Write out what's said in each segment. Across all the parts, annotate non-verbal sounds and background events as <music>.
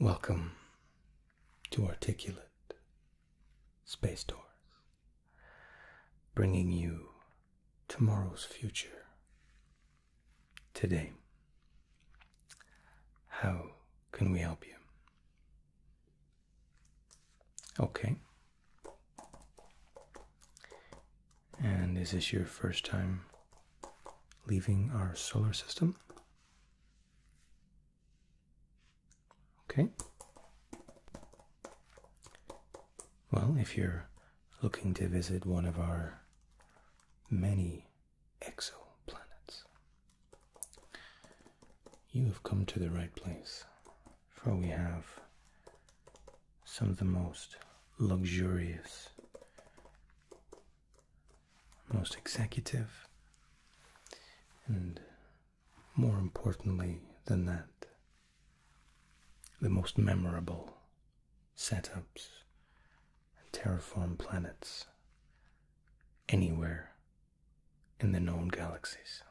Welcome to Articulate Space Doors, bringing you tomorrow's future today. How can we help you? Okay. And is this your first time leaving our solar system? Okay. Well, if you're looking to visit one of our many exoplanets, you have come to the right place, for we have some of the most luxurious, most executive, and more importantly than that, the most memorable setups and terraform planets anywhere in the known galaxies.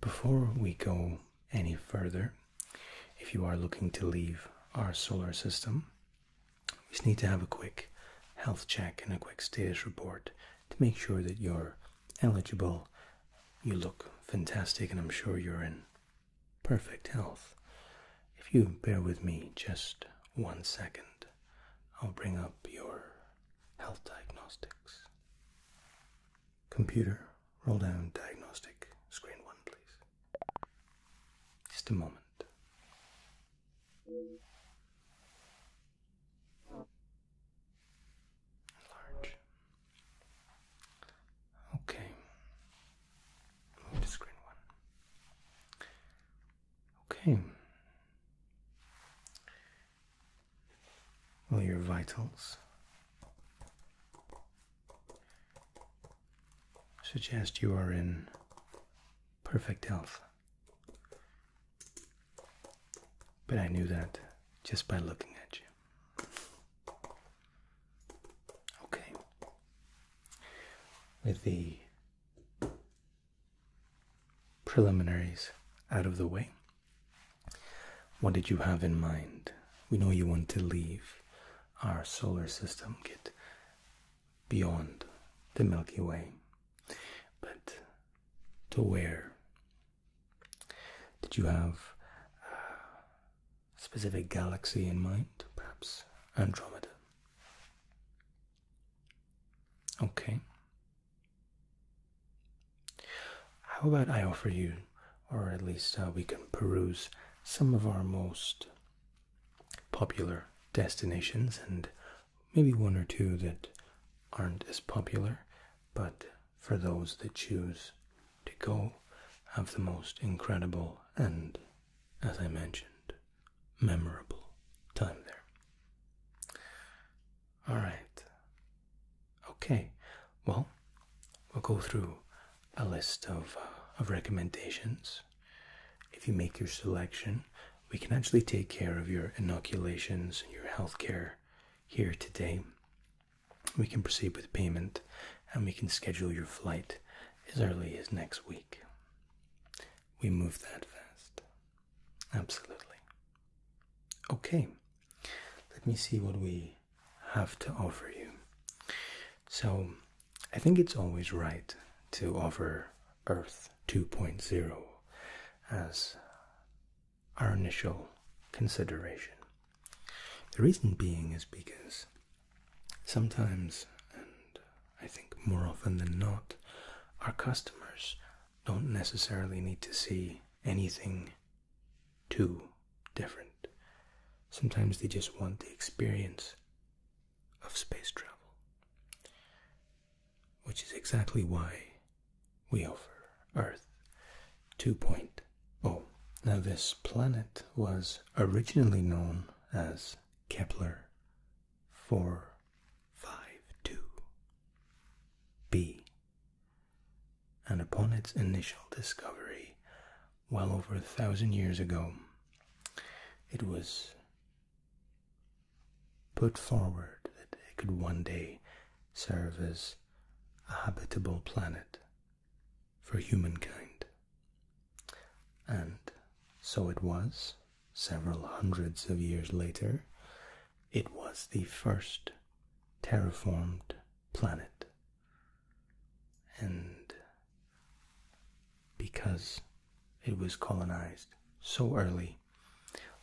Before we go any further, if you are looking to leave our solar system, we just need to have a quick health check and a quick status report to make sure that you're eligible. You look fantastic, and I'm sure you're in perfect health. If you bear with me just one second, I'll bring up your health diagnostics. Computer, roll down diagnostic screen one, please. Just a moment. Large. Okay. screen one. Okay. Well, your vitals suggest you are in perfect health. But I knew that just by looking at you. Okay. With the preliminaries out of the way. What did you have in mind? We know you want to leave our solar system, get beyond the Milky Way. But to where? Did you have a specific galaxy in mind? Perhaps Andromeda? Okay. How about I offer you, or at least uh, we can peruse some of our most popular destinations and maybe one or two that aren't as popular, but for those that choose to go, have the most incredible and, as I mentioned, memorable time there. Alright. Okay. Well, we'll go through a list of, uh, of recommendations. If you make your selection, we can actually take care of your inoculations your health care here today. We can proceed with payment and we can schedule your flight as early as next week we move that fast. Absolutely. Okay, let me see what we have to offer you. So, I think it's always right to offer Earth 2.0 as our initial consideration. The reason being is because sometimes, and I think more often than not, our customers don't necessarily need to see anything too different. Sometimes they just want the experience of space travel, which is exactly why we offer Earth 2.0. Now, this planet was originally known as Kepler 4 five two B. And upon its initial discovery, well over a thousand years ago, it was put forward that it could one day serve as a habitable planet for humankind. And so it was several hundreds of years later, it was the first terraformed planet. And because it was colonized so early,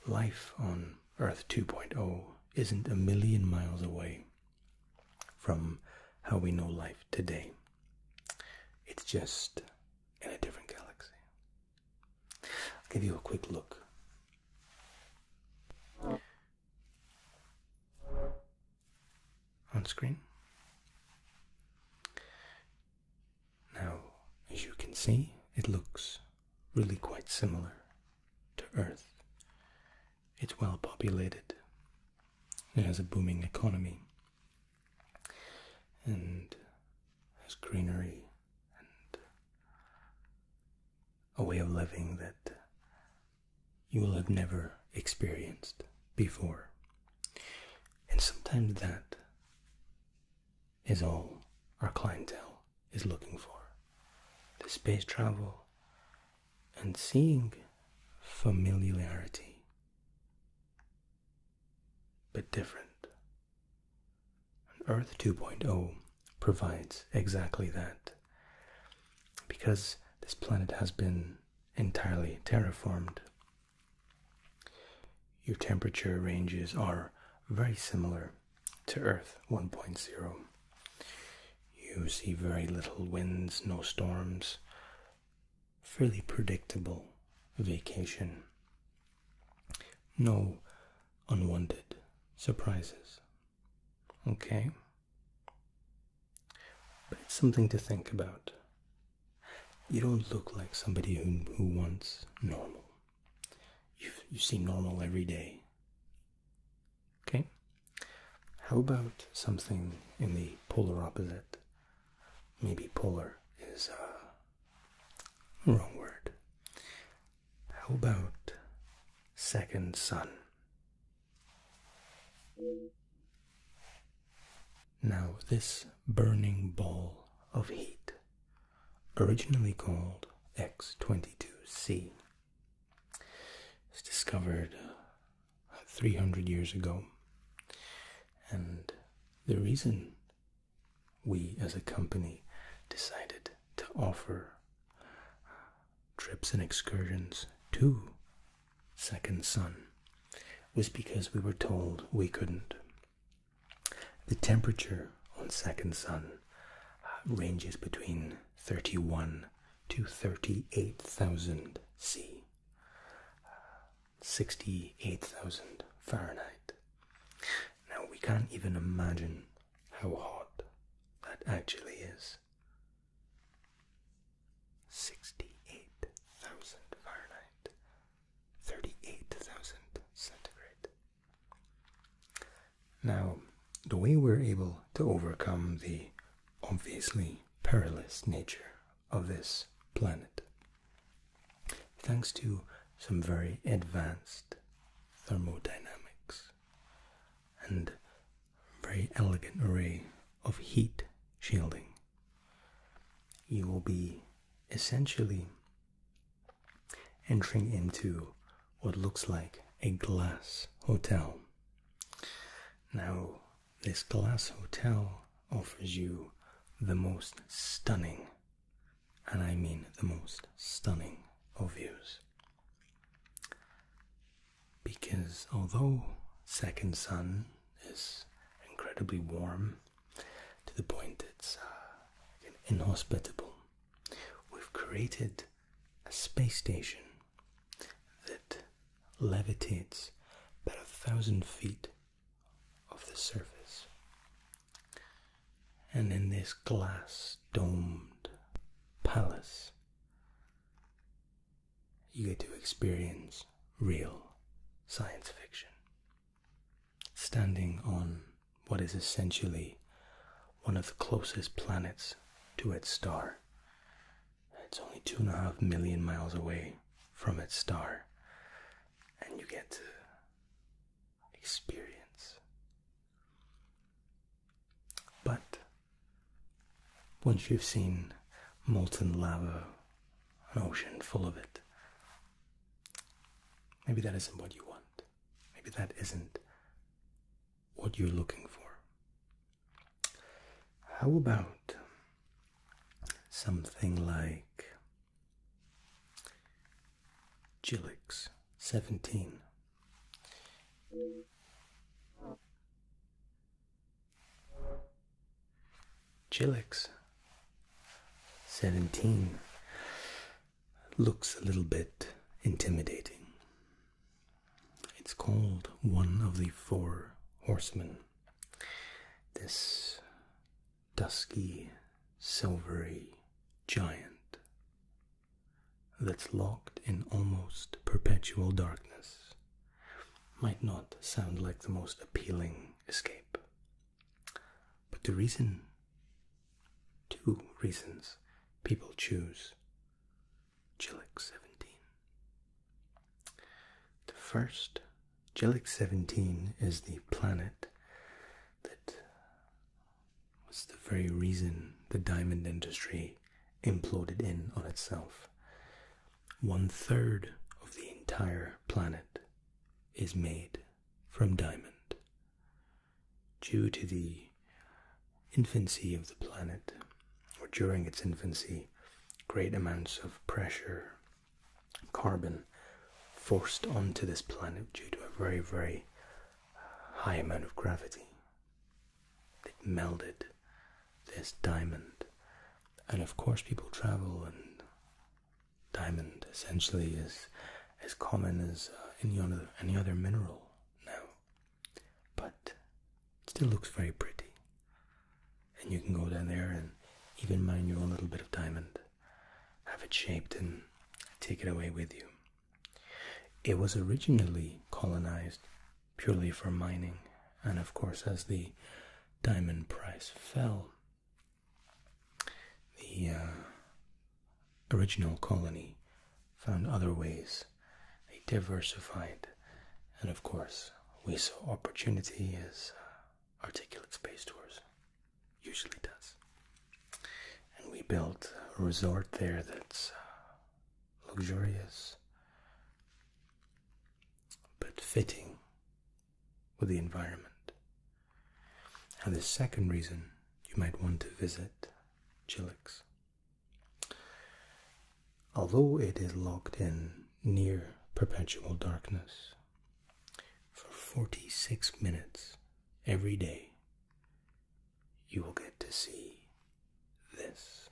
life on Earth 2.0 isn't a million miles away from how we know life today. It's just in a different galaxy. I'll give you a quick look. On screen. Now, as you can see, it looks really quite similar to Earth. It's well populated, it has a booming economy, and has greenery and a way of living that you will have never experienced before. And sometimes that is all our clientele is looking for the space travel and seeing familiarity but different. And Earth 2.0 provides exactly that. Because this planet has been entirely terraformed, your temperature ranges are very similar to Earth 1.0. You see very little winds, no storms, fairly predictable vacation no unwanted surprises. Okay? But it's something to think about. You don't look like somebody who, wants normal. You, see normal every day. Okay? How about something in the polar opposite? Maybe polar is uh, Wrong word. How about second son? Now, this burning ball of heat, originally called X22C, was discovered 300 years ago, and the reason we as a company decided to offer trips and excursions to Second Sun was because we were told we couldn't. The temperature on Second Sun uh, ranges between 31 to 38,000 C. 68,000 Fahrenheit. Now we can't even imagine how hot that actually is. 68,000 Fahrenheit, 38,000 centigrade. Now, the way we're able to overcome the obviously perilous nature of this planet thanks to some very advanced thermodynamics and very elegant array of heat shielding. You will be essentially entering into what looks like a glass hotel. Now, this glass hotel offers you the most stunning and I mean the most stunning of views. Because although Second Sun is incredibly warm to the point it's uh, inhospitable, we've created a space station that levitates about a thousand feet of the surface. And in this glass domed palace, you get to experience real science fiction. Standing on what is essentially one of the closest planets to its star. It's only two and a half million miles away from its star, and you get to experience. But once you've seen molten lava, an ocean full of it, maybe that isn't what you want. Maybe that isn't what you're looking for. How about something like Gillix, 17. Gillix, 17. Looks a little bit intimidating. It's called One of the Four Horsemen. This dusky, silvery giant that's locked in almost perpetual darkness might not sound like the most appealing escape. But the reason, two reasons, people choose Jillic 17. The first, Jillic 17 is the planet that was the very reason the diamond industry imploded in on itself. One third of the entire planet is made from diamond. Due to the infancy of the planet, or during its infancy, great amounts of pressure carbon forced onto this planet due to a very, very high amount of gravity. It melted this diamond. And of course, people travel, and diamond essentially is as common as uh, any other any other mineral now. But it still looks very pretty. And you can go down there and even mine your own little bit of diamond have it shaped and take it away with you. It was originally colonized purely for mining, and of course, as the diamond price fell, the uh, original colony found other ways. They diversified, and of course, we saw opportunity as uh, articulate space tours usually does. And we built a resort there that's uh, luxurious but fitting with the environment. And the second reason you might want to visit Chilix. Although it is locked in near perpetual darkness, for 46 minutes every day, you will get to see this.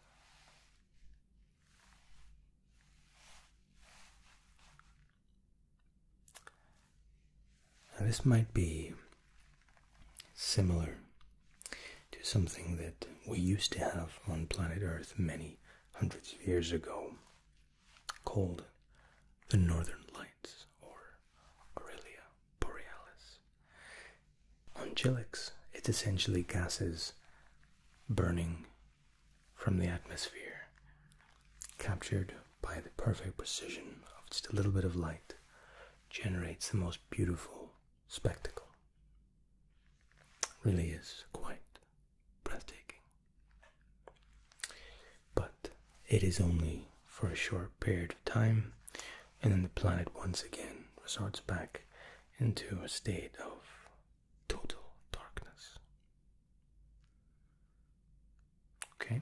Now, this might be similar to something that we used to have on planet Earth many hundreds of years ago called the Northern Lights or Aurelia Borealis. On Chilix, it's essentially gases burning from the atmosphere, captured by the perfect precision of just a little bit of light, generates the most beautiful spectacle. Really is quite breathtaking. But it is only for a short period of time, and then the planet once again resorts back into a state of total darkness. Okay.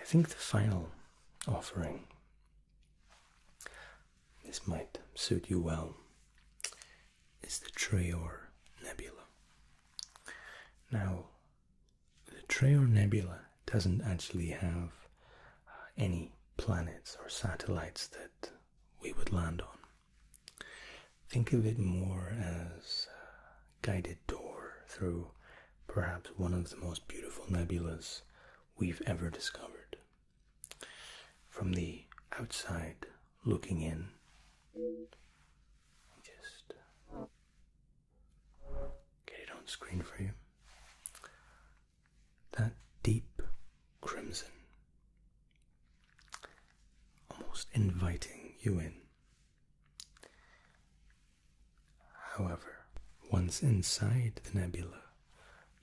I think the final offering, this might suit you well, is the Traor Nebula. Now, the Traor Nebula doesn't actually have uh, any planets or satellites that we would land on. Think of it more as a uh, guided tour through perhaps one of the most beautiful nebulae we've ever discovered. From the outside looking in, just uh, get it on screen for you. That deep crimson, almost inviting you in. However, once inside the nebula,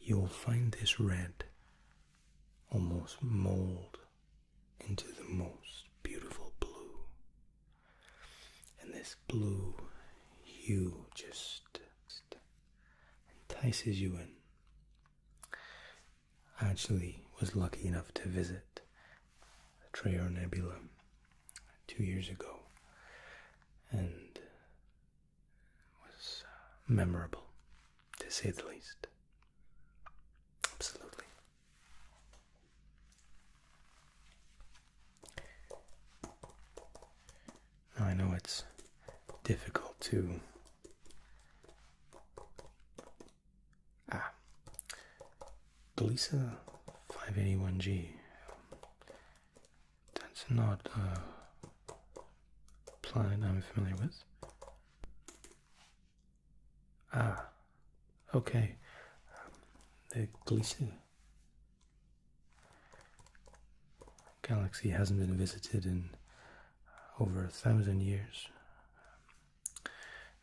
you'll find this red almost mold into the most beautiful blue. And this blue hue just, entices you in. I actually was lucky enough to visit the Trayer Nebula two years ago and was uh, memorable to say the least. Absolutely. I know it's difficult to ah the 581G that's not a planet I'm familiar with. Ah, okay. the Gliese galaxy hasn't been visited in over a thousand years.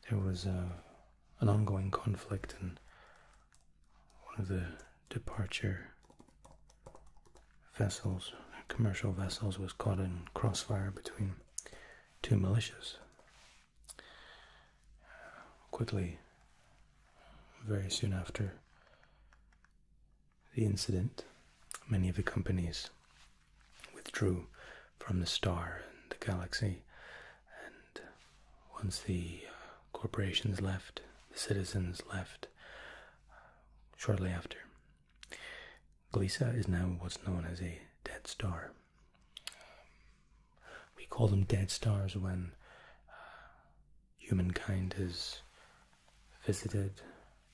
There was uh, an ongoing conflict, and one of the departure vessels, commercial vessels, was caught in crossfire between two militias. Quickly, very soon after the incident, many of the companies withdrew from the star and the galaxy, and once the uh, corporations left, the citizens left shortly after. Glisa is now what's known as a dead star we call them dead stars when uh, humankind has visited,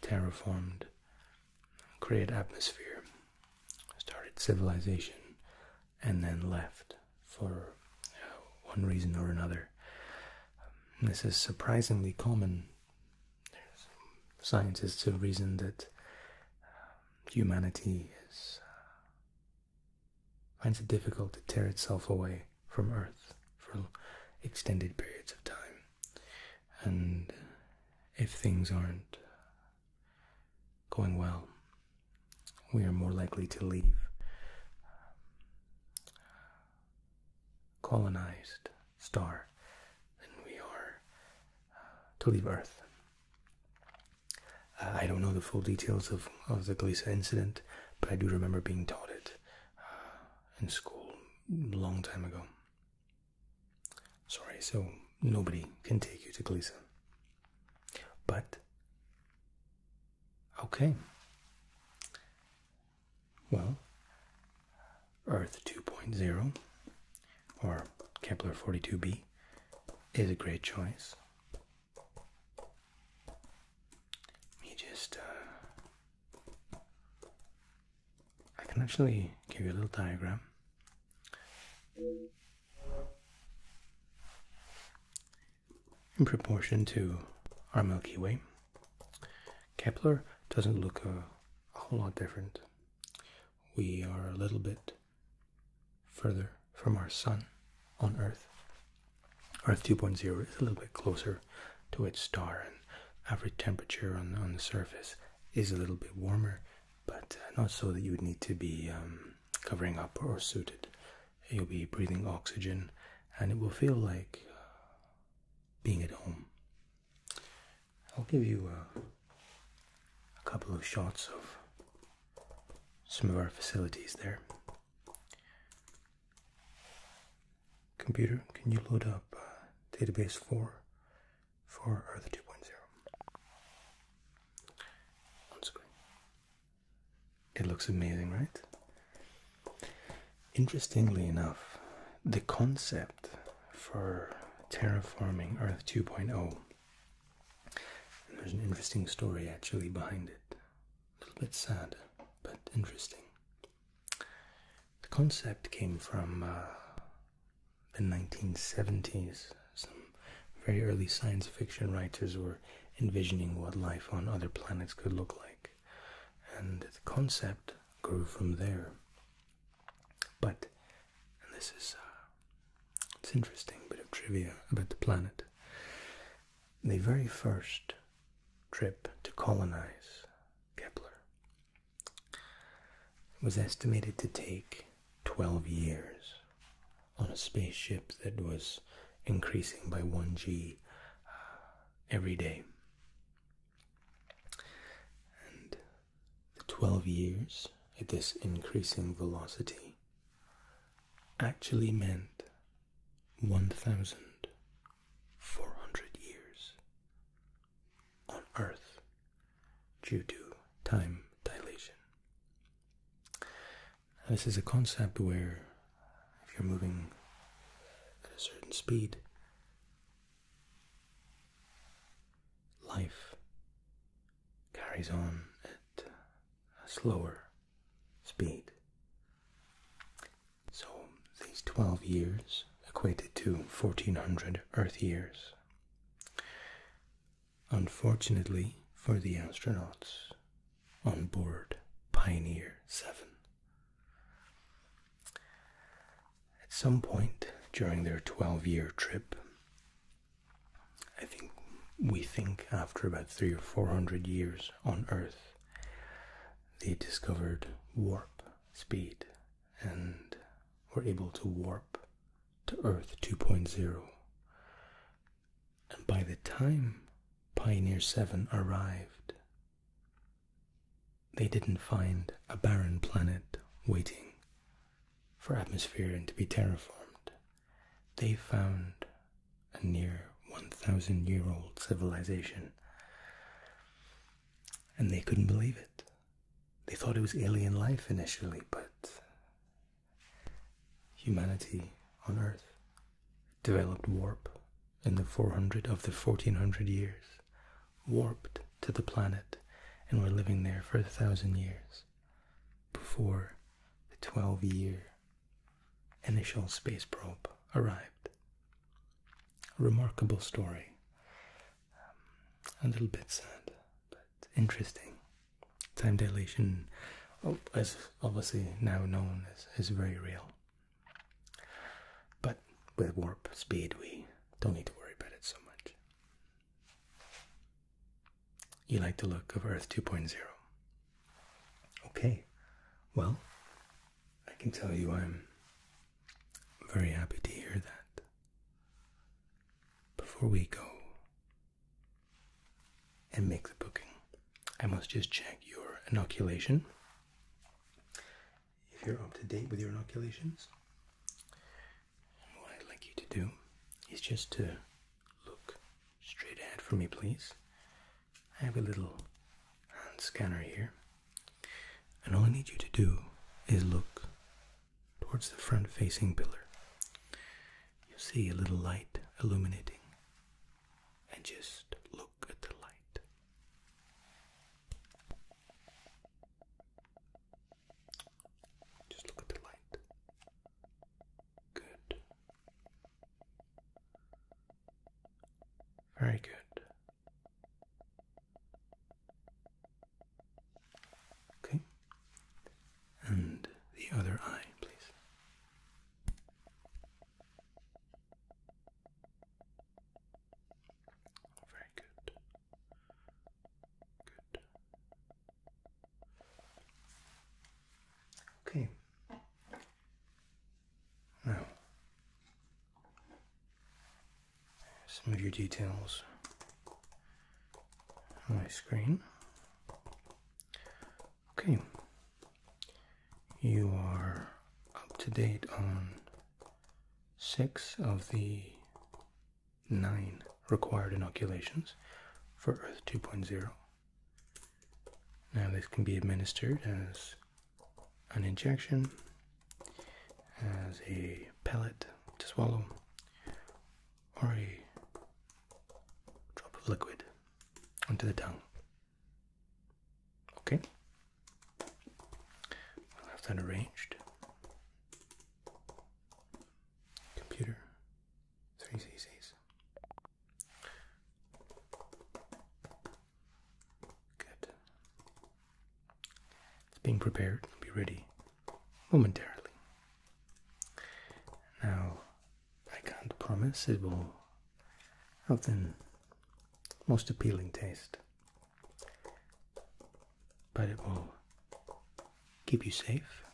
terraformed, created atmosphere, started civilization, and then left for uh, one reason or another. this is surprisingly common. There's scientists have reasoned that humanity uh, finds it difficult to tear itself away from Earth for extended periods of time, and if things aren't going well, we are more likely to leave uh, colonized star than we are uh, to leave Earth. Uh, I don't know the full details of, of the Glisa incident, but I do remember being taught it uh, in school a long time ago. Sorry, so nobody can take you to Glisa. But, okay. Well, Earth 2.0, or Kepler 42b, is a great choice. He just, uh, I can actually give you a little diagram. In proportion to our Milky Way, Kepler doesn't look a whole lot different. We are a little bit further from our sun on Earth. Earth 2.0 is a little bit closer to its star, and average temperature on, the surface is a little bit warmer, but uh, not so that you would need to be um, covering up or suited. You'll be breathing oxygen, and it will feel like uh, being at home. I'll give you a uh, a couple of shots of some of our facilities there. Computer, can you load up uh, database 4 for Earth 2.0? It looks amazing, right? Interestingly enough, the concept for terraforming Earth 2.0 there's an interesting story actually behind it. A little bit sad, but interesting. The concept came from uh, the 1970s. Some very early science fiction writers were envisioning what life on other planets could look like. And the concept grew from there. But and this is uh, it's interesting bit of trivia about the planet. The very first trip to colonize Kepler was estimated to take 12 years on a spaceship that was increasing by 1g uh, every day. The 12 years at this increasing velocity actually meant 1,400 years on Earth due to time dilation. this is a concept where if you're moving at a certain speed, life carries on at a slower speed. So these 12 years equated to 1400 Earth years. Unfortunately for the astronauts on board Pioneer 7, at some point during their 12 year trip, I think we think after about three or four hundred years on Earth, they discovered warp speed and were able to warp to Earth 2.0. And by the time Pioneer 7 arrived, they didn't find a barren planet waiting for atmosphere and to be terraformed, they found a near 1,000 year old civilization. And they couldn't believe it. They thought it was alien life initially, but humanity on Earth developed warp in the 400 of the 1400 years, warped to the planet, and were living there for a thousand years before the 12 year initial space probe arrived. A remarkable story. Um, a little bit sad, but interesting. Time dilation, oh, as obviously now known, is very real. But with warp speed, we don't need to worry about it so much. You like the look of Earth 2.0. Okay, well, I can tell you I'm very happy to hear that. Before we go and make the booking, I must just check your inoculation. If you're up to date with your inoculations, what I'd like you to do is just to look straight ahead for me, please. I have a little hand scanner here, and all I need you to do is look towards the front facing pillar. you see a little light illuminating, and just look at the light. Just look at the light. Good. Very good. Okay. And the other eye, please. Very good. Good. Okay. Now, some of your details on my screen. Okay. You are up to date on six of the nine required inoculations for Earth 2.0. Now, this can be administered as an injection, as a pellet to swallow, or a drop of liquid onto the tongue. Okay? We'll have that arranged. Computer three CCs. Good. It's being prepared. be ready momentarily. Now, I can't promise it will have the most appealing taste, but it will keep you safe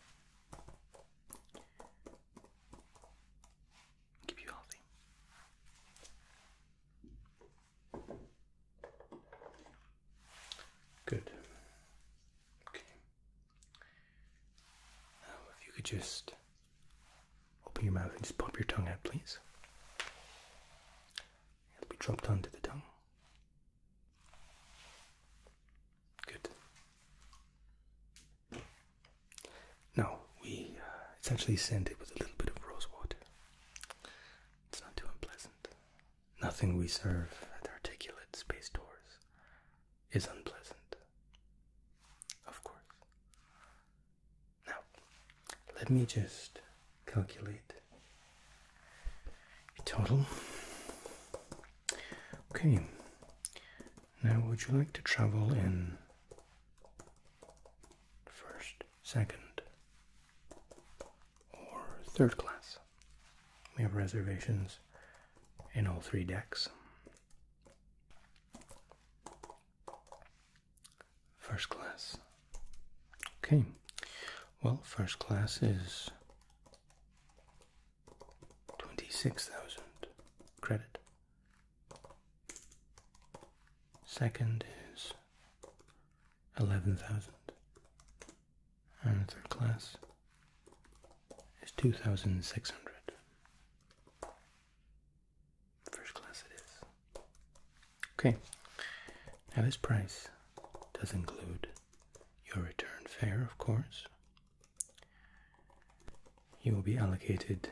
Keep you healthy. Good. Okay. Now, if you could just open your mouth and just pop your tongue out, please. It'll be dropped onto the tongue. Good. Now we essentially uh, it's it with a little bit of rose water. It's not too unpleasant. Nothing we serve at articulate space tours is unpleasant. Of course. Now, let me just calculate the total. Okay, now would you like to travel in first, second, or third class? We have reservations in all three decks. First class. Okay, well, first class is 26,000 credit. Second is 11,000. And third class is 2,600. First class it is. Okay. Now this price does include your return fare, of course. You will be allocated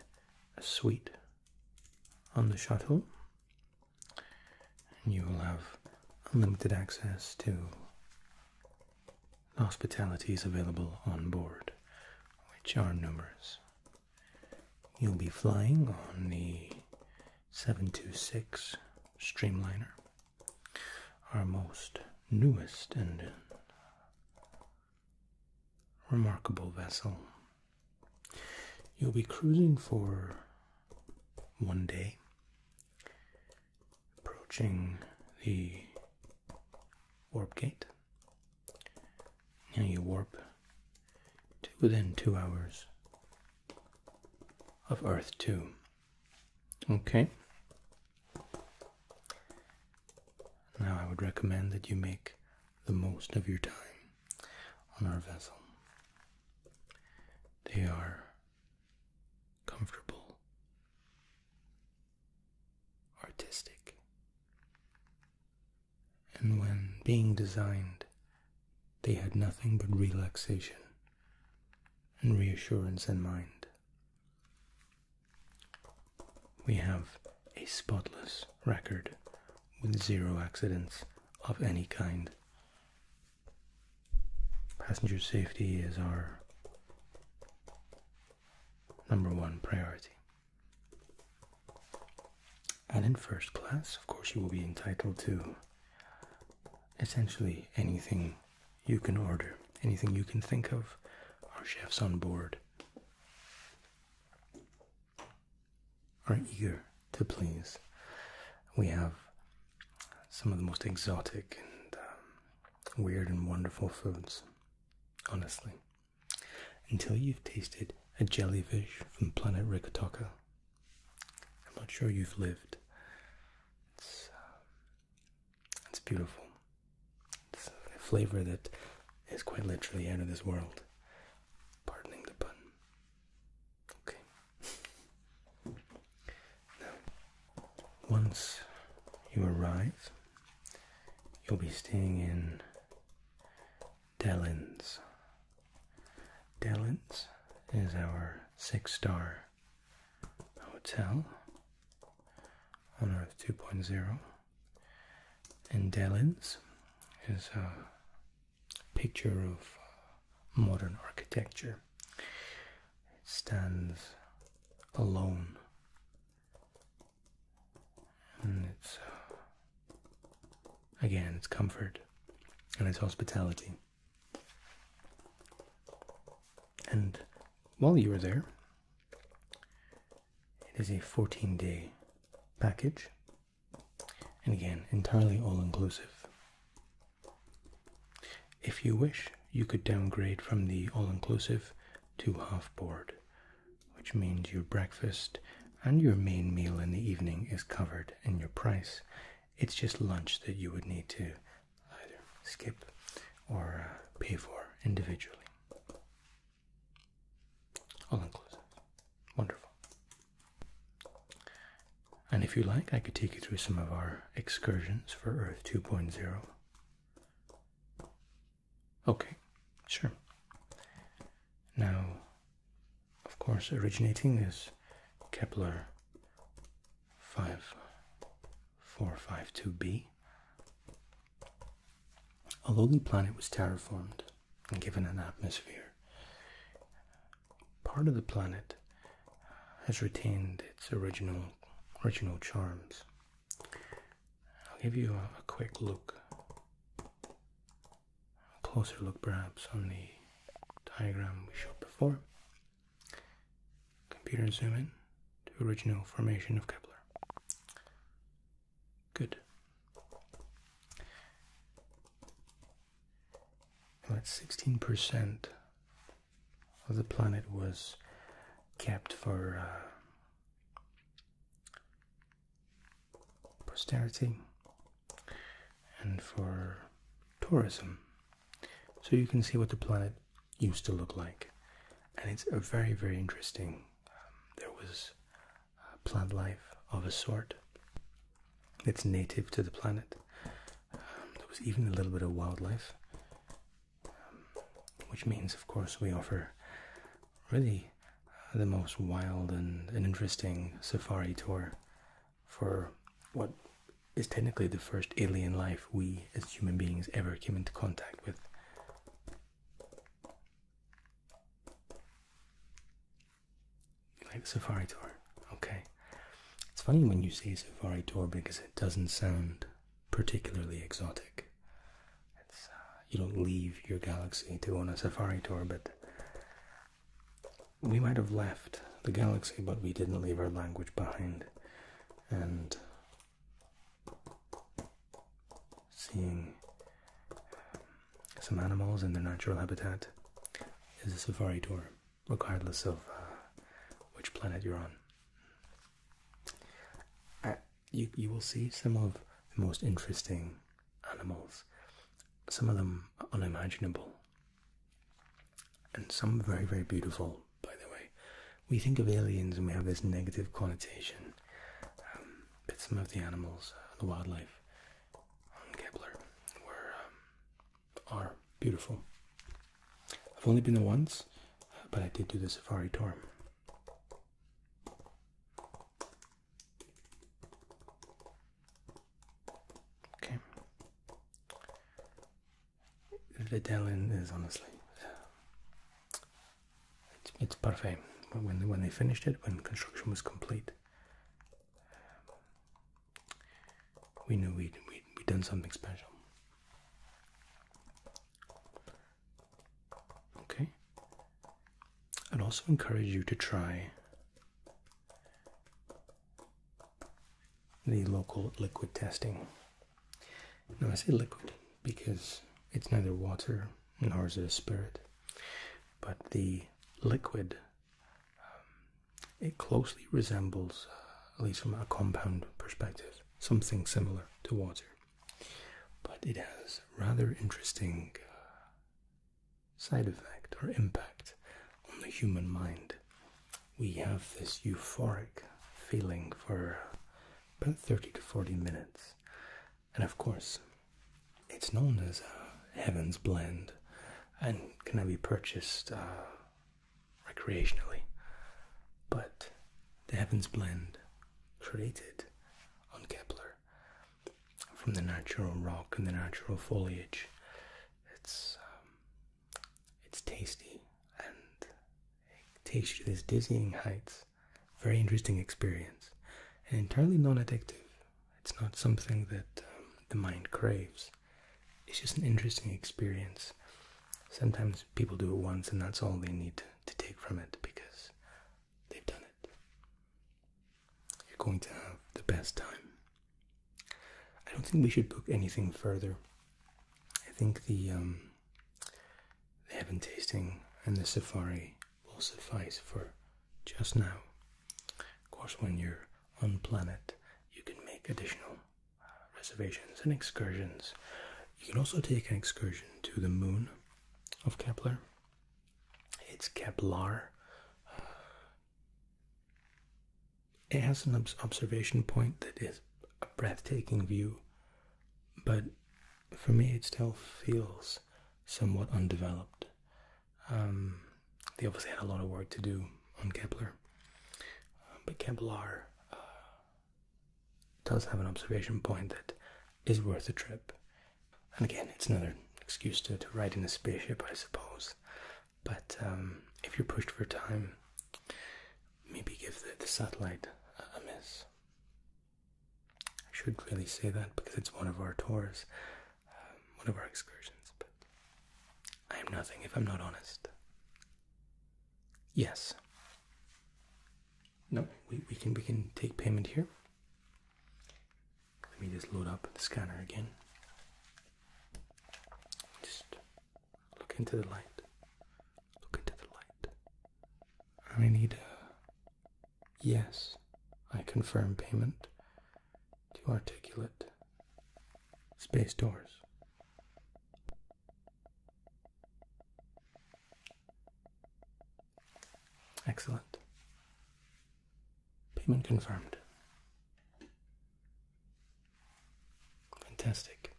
a suite on the shuttle, and you will have unlimited access to the hospitalities available on board, which are numerous. You'll be flying on the 726 Streamliner our most newest and remarkable vessel. You'll be cruising for one day, approaching the warp gate. and you warp to within two hours of Earth 2. Okay. Now, I would recommend that you make the most of your time on our vessel. They are comfortable, artistic, and when being designed, they had nothing but relaxation reassurance in mind. We have a spotless record with zero accidents of any kind. Passenger safety is our number one priority. And in first class, of course, you will be entitled to essentially anything you can order, anything you can think of. Our chefs on board are eager to please. We have some of the most exotic and um, weird and wonderful foods, honestly. Until you've tasted a jellyfish from planet Rikatoka, I'm not sure you've lived. It's beautiful. It's a flavor that is quite literally out of this world. Pardoning the pun. Okay. Now, once you arrive, you'll be staying in Dellins. Dellins is our six star Hotel on Earth 2.0, in Delins is a picture of uh, modern architecture. It stands alone, and it's uh, again its comfort and its hospitality. And while you are there, it is a 14 day package, and again, entirely all inclusive. If you wish, you could downgrade from the all inclusive to half board, which means your breakfast and your main meal in the evening is covered in your price. It's just lunch that you would need to either skip or uh, pay for individually. All inclusive. Wonderful. And if you like, I could take you through some of our excursions for Earth 2.0. Okay, sure. Now, of course, originating is Kepler 5452b. A lowly planet was terraformed and given an atmosphere. Part of the planet has retained its original original charms. I'll give you a quick look, a closer look perhaps on the diagram we showed before. Computer zoom in to original formation of Kepler. Good. About 16% of the planet was kept for uh, posterity and for tourism. So you can see what the planet used to look like. And it's a very, very interesting. Um, there was plant life of a sort. It's native to the planet. Um, there was even a little bit of wildlife, um, which means, of course, we offer really uh, the most wild and, and interesting safari tour for what is technically the first alien life we as human beings ever came into contact with. like a safari tour? Okay. It's funny when you say safari tour because it doesn't sound particularly exotic. Uh, you don't leave your galaxy to go on a safari tour, but we might have left the galaxy, but we didn't leave our language behind and seeing um, some animals in their natural habitat is a safari tour, regardless of uh, which planet you're on. Uh, you, you will see some of the most interesting animals, some of them unimaginable and some very, very beautiful, by the way. We think of aliens and we have this negative connotation, um, but some of the animals, uh, the wildlife on Kepler, um, are beautiful. I've only been there once, but I did do the safari tour. Okay the Delin is honestly it's, it's parfait. When when they finished it, when construction was complete, um, we knew we we'd done something special. Okay, I'd also encourage you to try the local liquid testing. Now, I say liquid because it's neither water nor is it a spirit, but the liquid um, it closely resembles, uh, at least from a compound perspective, something similar to water, but it has rather interesting uh, side effect or impact on the human mind we have this euphoric feeling for about 30 to 40 minutes. And of course, it's known as a Heaven's Blend and can be purchased uh, recreationally. But the Heaven's Blend, created on Kepler from the natural rock and the natural foliage, it's um, it's tasty and takes you to these dizzying heights. Very interesting experience and entirely non addictive. It's not something that um, the mind craves. It's just an interesting experience. Sometimes people do it once and that's all they need to take from it because they've done it. You're going to have the best time. I don't think we should book anything further I think um, the heaven tasting and the safari will suffice for just now. Of course, when you're on planet, you can make additional reservations and excursions. You can also take an excursion to the moon of Kepler. It's Kepler it has an observation point that is a breathtaking view, but for me it still feels somewhat undeveloped. Um, they obviously had a lot of work to do on Kepler, uh, but Kepler uh, does have an observation point that is worth a trip. And again, it's another excuse to, to ride in a spaceship, I suppose. But um, if you're pushed for time, maybe give the, satellite a, miss. I should really say that because it's one of our tours, um, one of our excursions, but I am nothing if I'm not honest. Yes. No, we, we can we can take payment here. Let me just load up the scanner again. Just Look into the light. Look into the light. I need a yes. I confirm payment to articulate space doors. Excellent. Payment confirmed. Fantastic.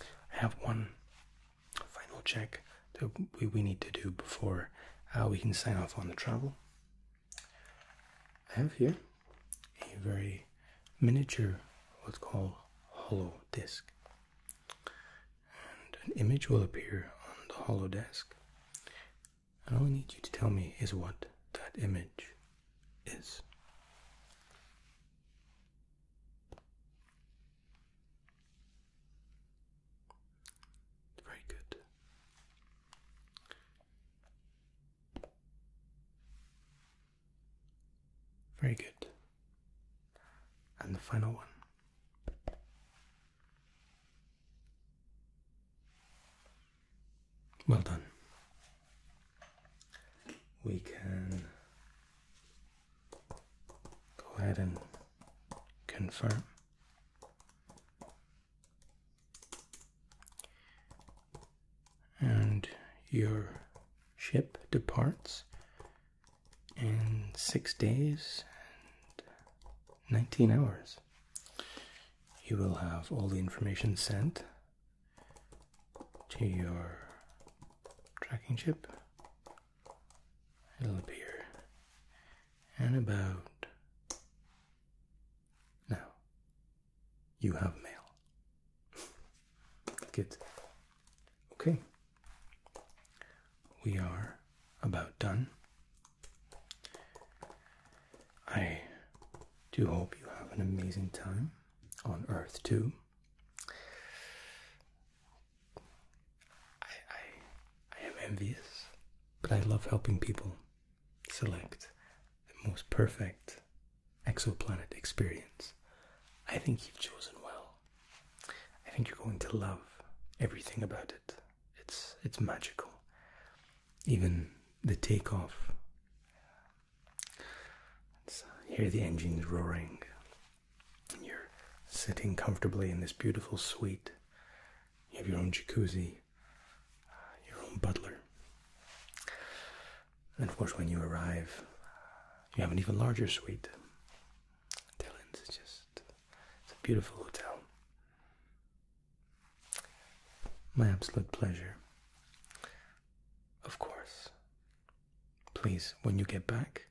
I have one final check that we need to do before uh, we can sign off on the travel. I have here a very miniature, what's called hollow disk. And an image will appear on the hollow disk. And all I need you to tell me is what that image is. Very good. Very good. And the final one. Well done we can go ahead and confirm. And your ship departs in six days and 19 hours. You will have all the information sent to your tracking chip. It'll appear and about now. You have mail. <laughs> Good. Okay. We are about done. I do hope you have an amazing time on Earth too. I, I, I am envious, but I love helping people select the most perfect exoplanet experience. I think you've chosen well. I think you're going to love everything about it. It's it's magical. Even the takeoff uh, hear the engines roaring. And you're sitting comfortably in this beautiful suite. You have your own jacuzzi, uh, your own butler. And of course, when you arrive, you have an even larger suite. Dylan's just it's a beautiful hotel. My absolute pleasure. Of course, Please, when you get back,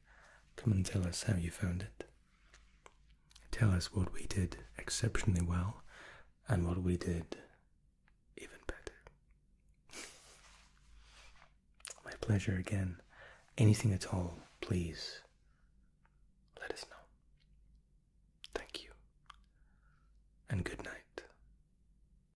come and tell us how you found it. Tell us what we did exceptionally well and what we did even better. My pleasure again. Anything at all, please let us know. Thank you, and good night.